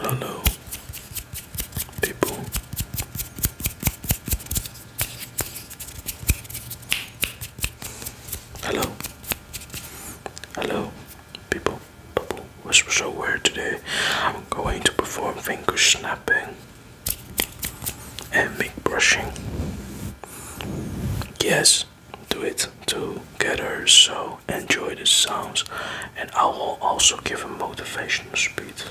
Hello, people. Hello, hello, people. Bubble was so weird today. I'm going to perform finger snapping and make brushing. Yes, do it together so enjoy the sounds and I will also give a motivational speech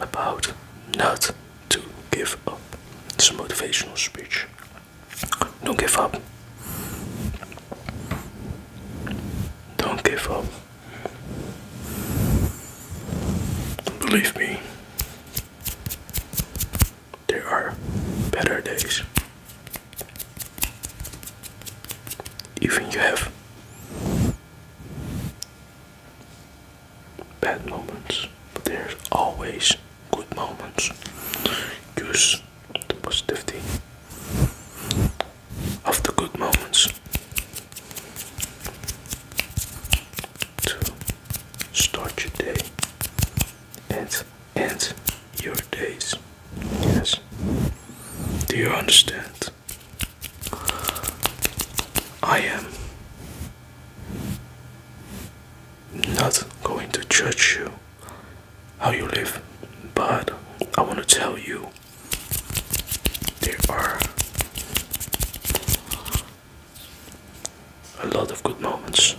about not to give up. This motivational speech. Don't give up. Don't give up. Believe me, there are better days even you have bad moments, but there's always good moments. Use the positivity of the good moments to start your day and end your days. Yes. Do you understand? I am not going to judge you how you live, but I want to tell you there are a lot of good moments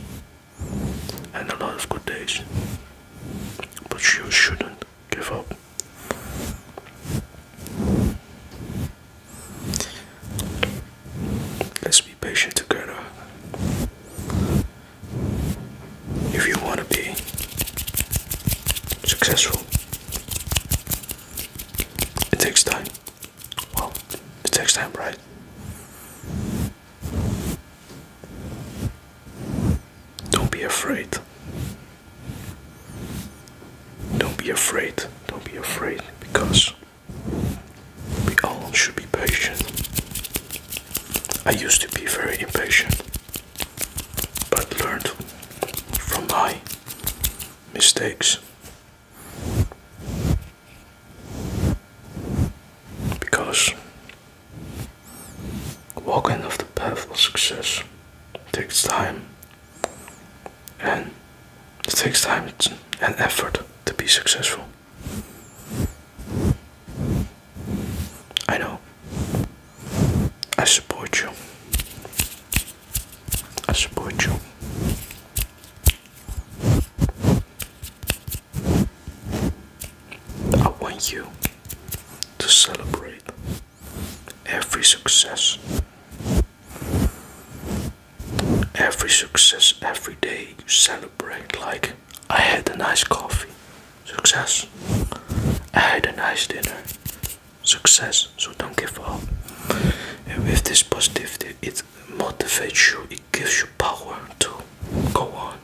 and a lot of good days, but you shouldn't give up. Let's be patient together. If you want to be successful, it takes time. Well, it takes time, right? Don't be afraid. Don't be afraid. Don't be afraid because we all should be patient. I used to be very impatient, but learned from my mistakes. Because Walking off the path of success takes time, and it takes time and effort to be successful. I know. I support you. I support you. I want you to celebrate every success. Every success, every day you celebrate. Like, I had a nice coffee, success. I had a nice dinner, success. So don't give up. And with this positivity, it motivates you, it gives you power to go on.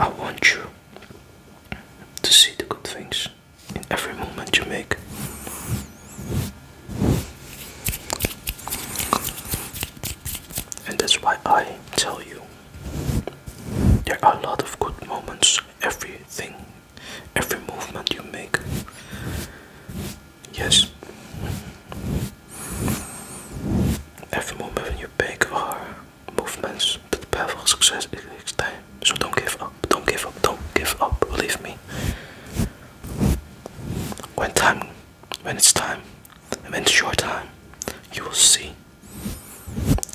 I want you to see the good things in every moment you make. And that's why I tell you there are a lot of good moments, everything, every movement you make. Yes, Every moving you make or movements to the path of success it takes time. So don't give up, don't give up, don't give up, believe me. When time when it's time, when it's your time, you will see.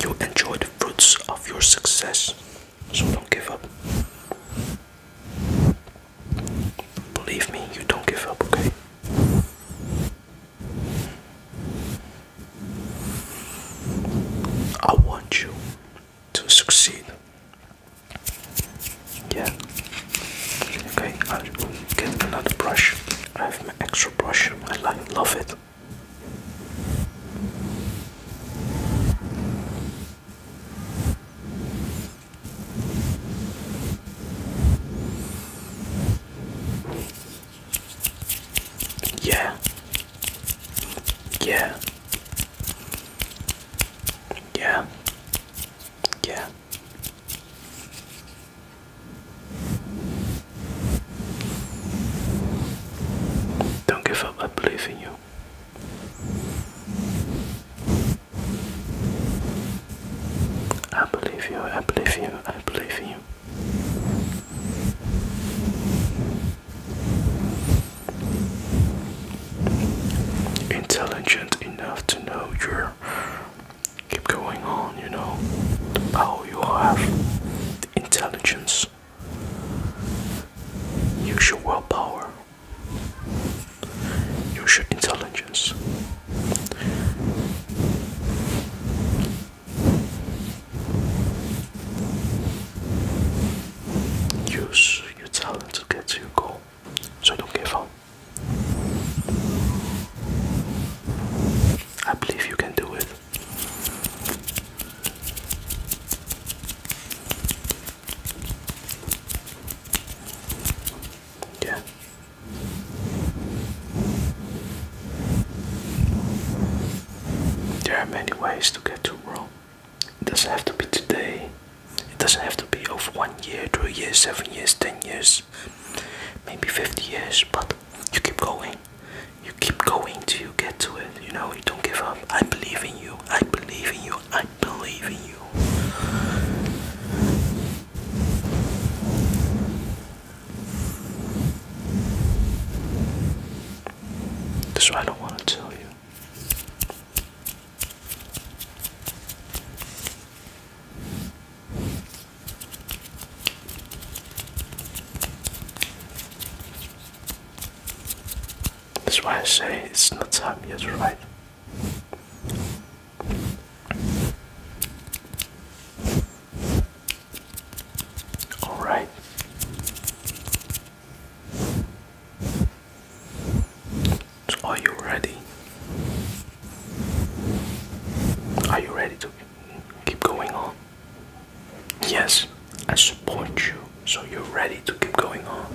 You enjoy the fruits of your success. So don't give up. Believe me, you don't give up, okay? I want you to succeed. Yeah. Okay, I'll get another brush. I have my extra brush. I love it. Yeah. Yeah. Yeah. Yeah. Don't give up, I believe in you. I believe you, I believe you, I believe you. Intelligent enough to know you're keep going on, you know, the power you have, the intelligence. Use your willpower. You should intelligence challenges. Use your talent to get to your goal, so don't give up. I believe you can do it. Yeah, there are many ways to get to Rome. It doesn't have to be today. It doesn't have to be over one year, two years, seven years, ten years, maybe fifty years, but you keep going. You keep going till you get to it. You know, you don't give up. I believe in you. I believe in you. I believe in you. That's why I don't want to tell you. That's why I say it's not time yet, right? All right. are you ready? Are you ready to keep going on? Yes, I support you. So you're ready to keep going on.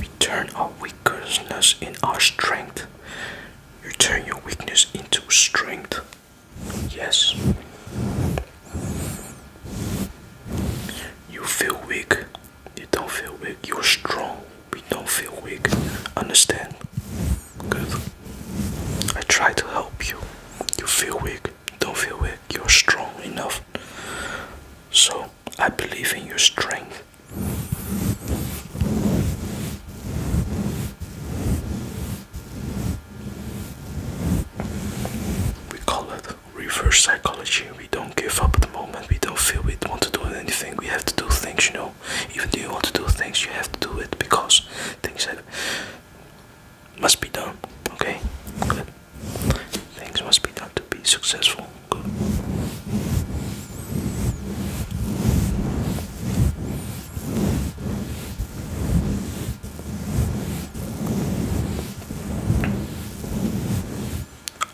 We turn our weakness in our strength. You turn your weakness into strength. Yes. You feel weak. You don't feel weak. You're strong. We don't feel weak. Understand? Good. I try to help you. You feel weak. Don't feel weak. You're strong enough. So I believe in your strength. We call it reverse psychology. We don't give up at the moment. We don't feel we want to do anything. We have to do things, you know. Even though you want to do things, you have to do it because things have, must be done. Okay? Good. Things must be done to be successful.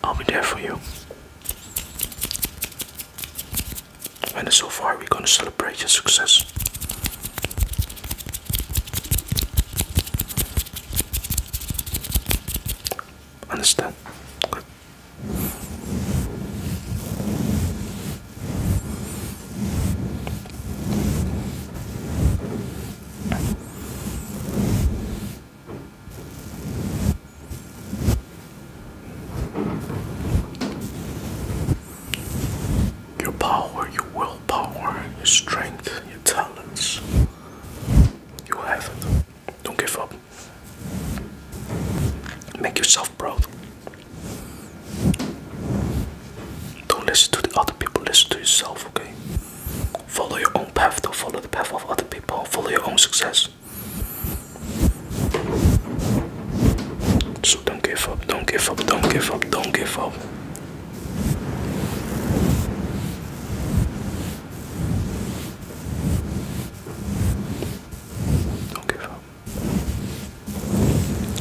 I'll be there for you. And so far, we're gonna celebrate your success. Understand? Your power, your willpower, your strength, your talents. You have it. Don't give up. Make yourself proud. Don't listen to the other people, listen to yourself, okay? Follow your own path, don't follow the path of other people, follow your own success. So don't give up, don't give up, don't give up, don't give up. Don't give up.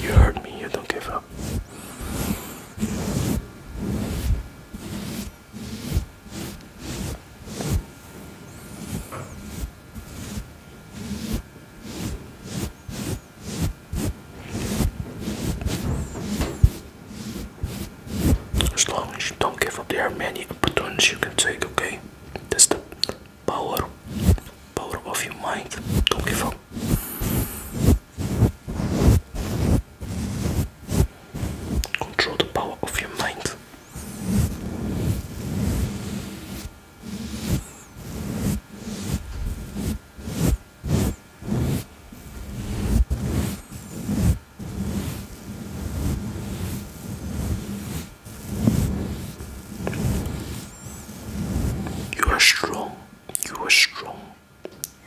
You heard me, you don't give up. As don't give up, there are many opportunities you can take, okay? That's the power, power of your mind. Don't give up. Control the power of your mind. You are strong. You are strong.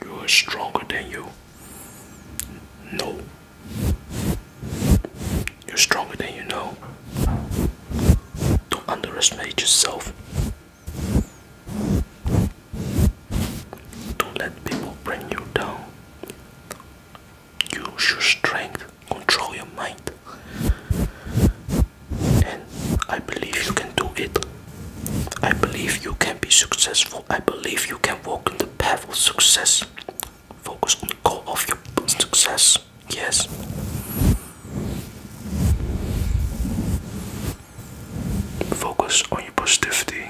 You are stronger than you. know. You're stronger than you know. Don't underestimate yourself. Don't let people bring you down use your strength, control your mind. And I believe you can do it. I believe you can be successful. I believe you can walk in the path of success. Focus on the goal of your success. Yes. Focus on your positivity.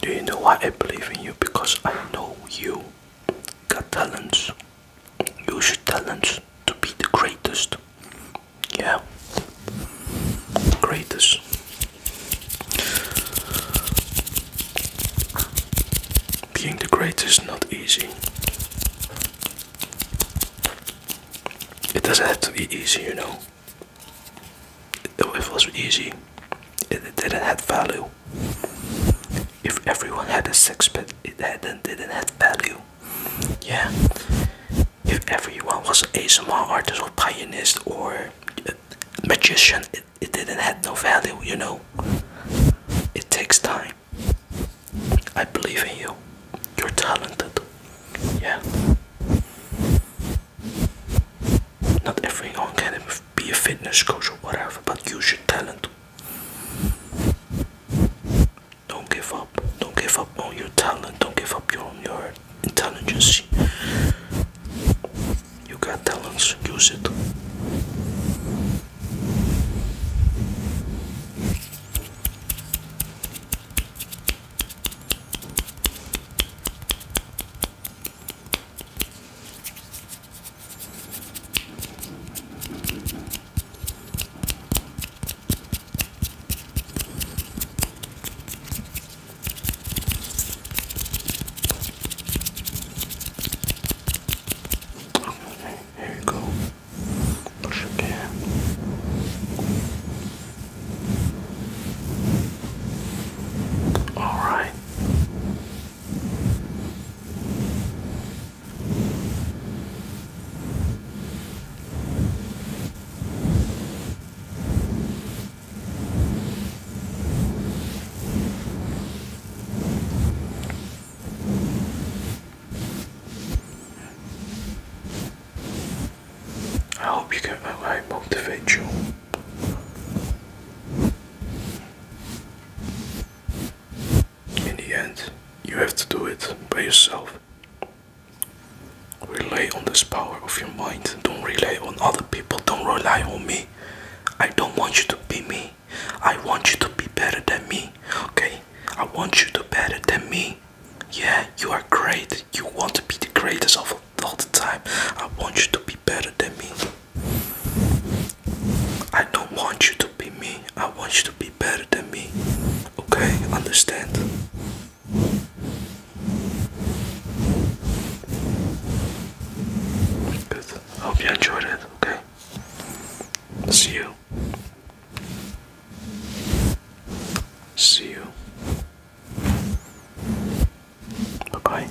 Do you know why I believe in you? Because I know you got talents. Use your talents to be the greatest. Yeah, Kratos. Being the greatest not easy. It doesn't have to be easy, you know. If it was easy, it didn't have value. If everyone had a 6 sixpence, it hadn't didn't have value yeah if everyone was a small artist or pianist or magician it, it didn't have no value you know it takes time I believe in you you're talented yeah not everyone can be a fitness coach or whatever but use your talent don't give up. Don't give up on your talent. Don't give up on your intelligence. You got talents, use it. Okay, here you go. Push again. All right. I hope you get that way, motivate you. In the end, you have to do it by yourself. Relay on this power of your mind. Don't rely on other people. Don't rely on me. I don't want you to be me. I want you to be better than me. Okay? I want you to be better than me. Yeah, you are great. You want to be the greatest of all the time. I want you to be better than me. I don't want you to be me. I want you to be better than me. Okay, understand. Good. Hope you enjoyed it. Okay. See you. See you. Bye bye.